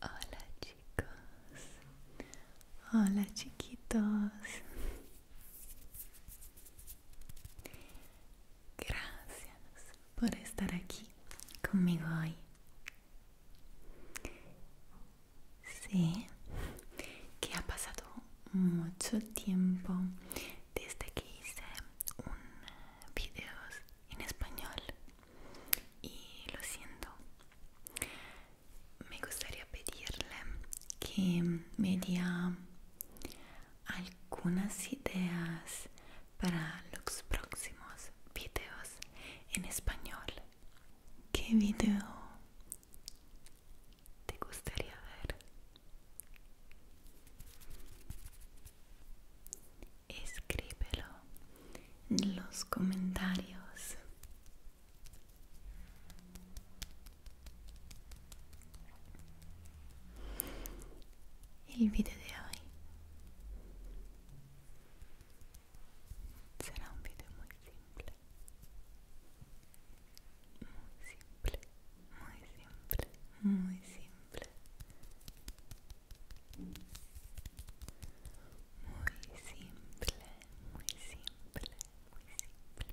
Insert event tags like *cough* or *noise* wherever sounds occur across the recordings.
Hola chicos, Hola chiquitos. Gracias por estar aquí conmigo hoy. Sé que ha pasado mucho tiempo desde que hice un video en español y lo siento me gustaría pedirle que me diera algunas ideas para los próximos videos en español. ¿Qué video te gustaría ver? Escríbelo en los comentarios. El video de hoy será un video muy simple, muy simple, muy simple, muy simple muy simple, muy simple, muy simple.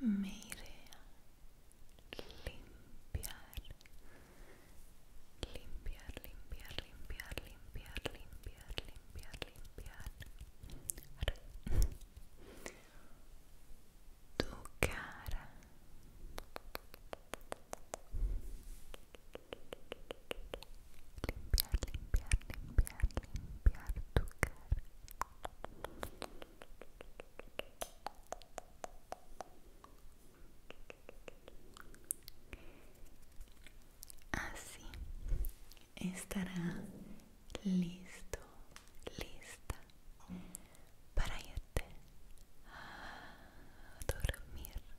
Me limpiar, limpiar, limpiar, limpiar, limpiar, limpiar, limpiar, limpiar. Tu cara limpiar, limpiar, limpiar tu cara. Así estará listo, lista para irte a dormir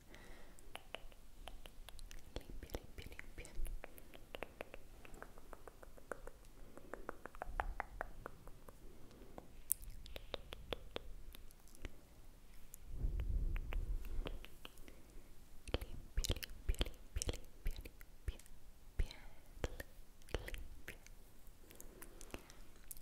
limpia, limpia, limpia limpia, limpia, limpia, limpia, limpia, limpia, limpia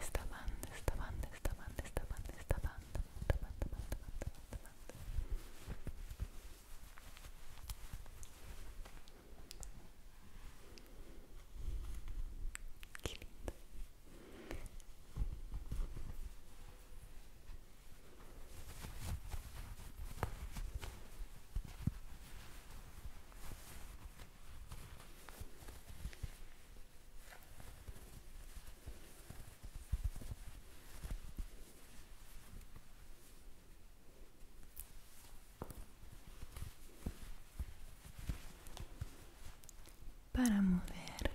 Esta banda, esta banda, esta banda, esta banda, esta banda, para mover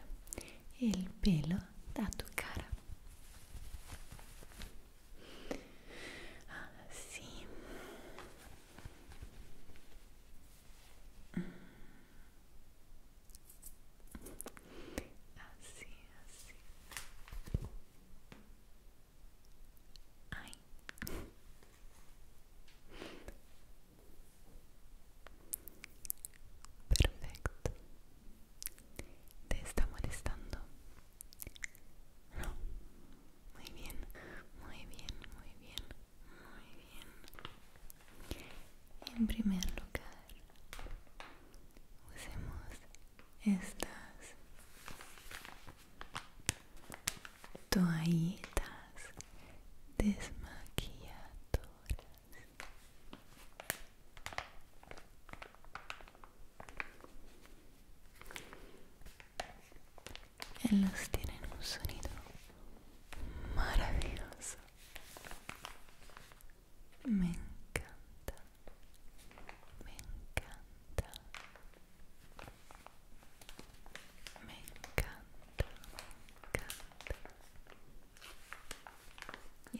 il pelo da tu cara Ah, mm. así así así perfecto te está molestando muy bien, muy bien, muy bien, muy bien. En primer lugar, usemos estas toallitas desmaquilladoras ellos tienen un sonido maravilloso me encanta me encanta me encanta encanta y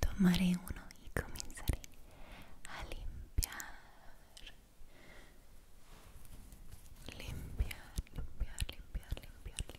Tomaré uno y comenzaré a limpiar. Limpiar, limpiar, limpiar, limpiar,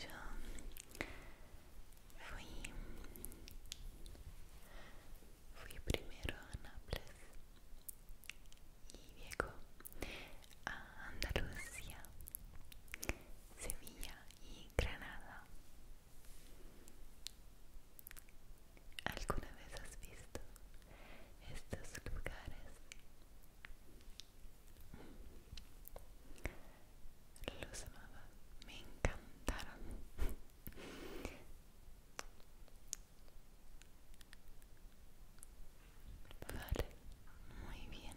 yo fui, primero a Nápoles y luego a Andalucía, Sevilla y Granada. ¿Alguna vez has visto estos lugares? Los amaba, me encantaron. *laughs* Vale, muy bien.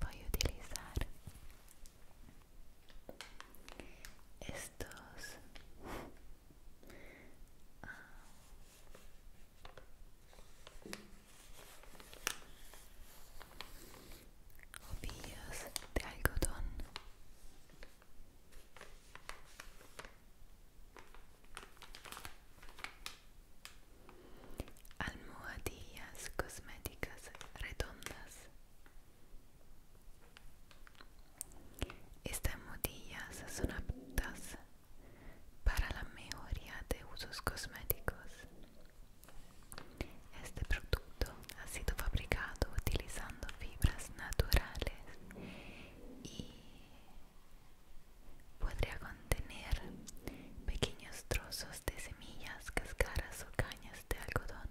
voy a utilizar estos ah, ovillos de algodón Almohadillas cosméticas redondas. Estas almohadillas son aptas para la mayoría de usos cosméticos. Este producto ha sido fabricado utilizando fibras naturales y Podría contener pequeños trozos de semillas, cascaras o cañas de algodón.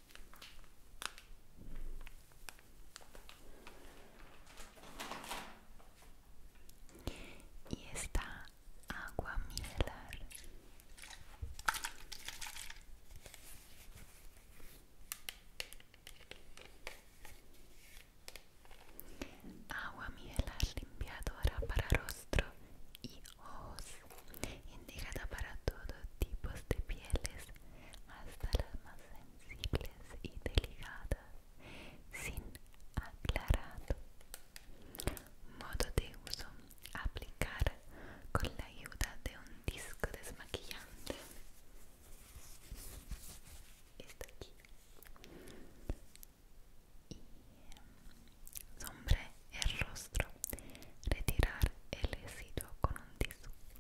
y esta agua mielar, agua mielar limpiadora para rostro y ojos indicada para todos tipos de pieles hasta las más sensibles y delicadas sin aclarado. Modo de uso: aplicar con la ayuda de un disco desmaquillante. esto aquí. Y mm, sombre el rostro. Retirar el residuo con un disco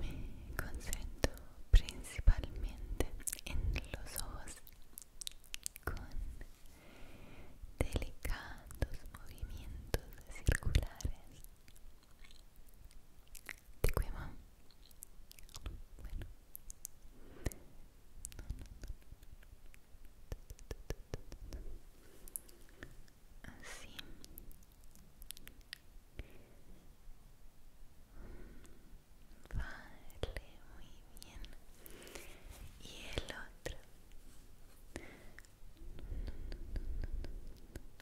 Me concentro principalmente en los ojos con delicados movimientos circulares ¿Te cueva? Bueno. Así. Vale, muy bien. Y el otro.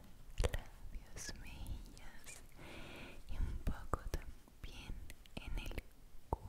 labios, mejillas y un poco también en el cuello.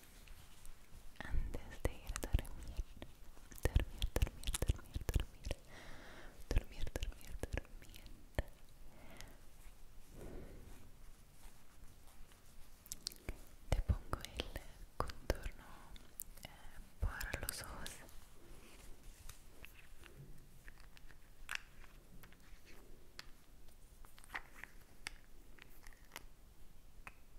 antes de ir a dormir dormir, dormir, dormir, dormir dormir, dormir, dormir te pongo el contorno eh, para los ojos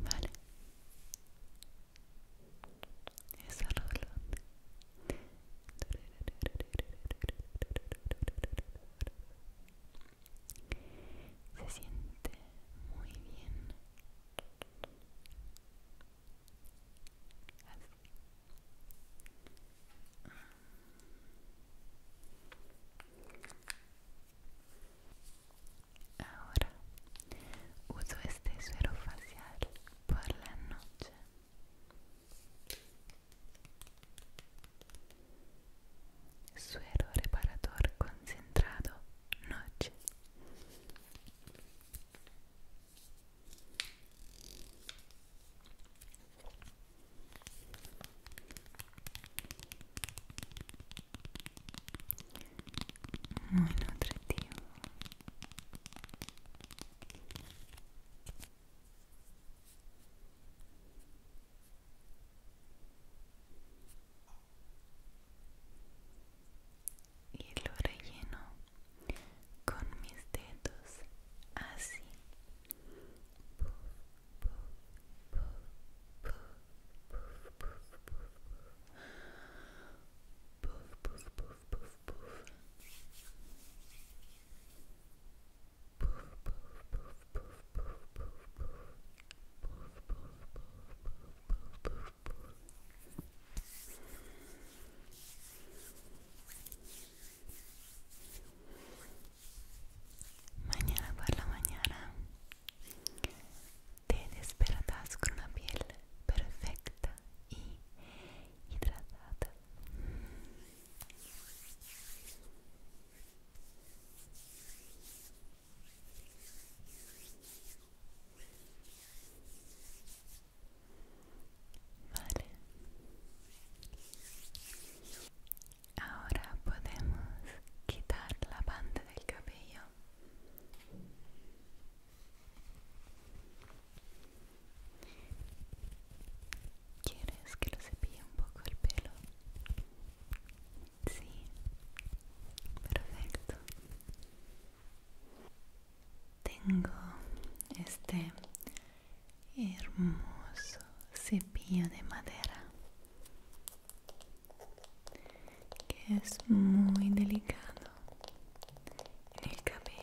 Vale. es rolón. Se siente muy bien. Así. Ahora uso este suero facial por la noche. Suero reparador concentrado noche. muy nutritivo y lo relleno con mis dedos así Mañana por la mañana te despertarás con una piel perfecta y hidratada. Mañana Vale. Ahora podemos quitar la banda del cabello. ¿Quieres que lo cepille un poco el pelo? Sí. Perfecto. Tengo este hermoso cepillo de madera que es muy delicado en el cabello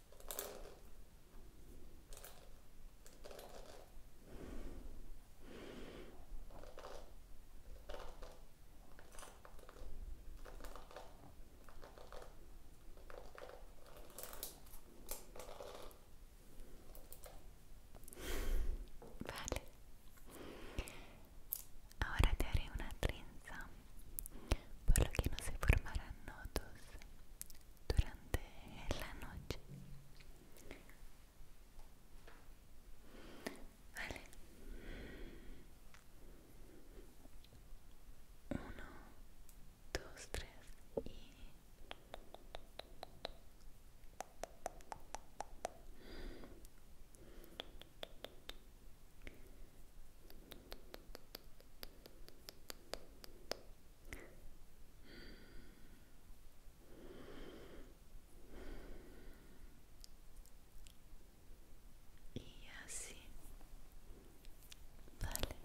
Vale, ahora te haré una trenza, por lo que no se formarán nudos durante la noche. Vale. Uno, dos, tres y y así vale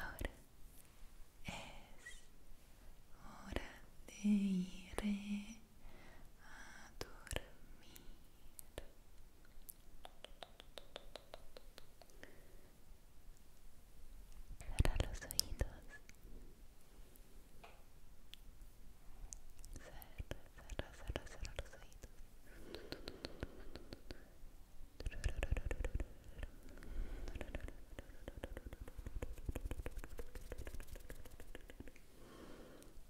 ahora es hora de ir a dormir Cierra los oídos. Cierra, cierra, cierra los oídos.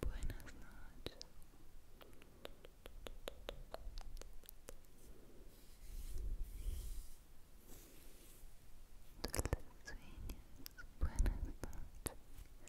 Buenas noches. Dulces Buenas noches.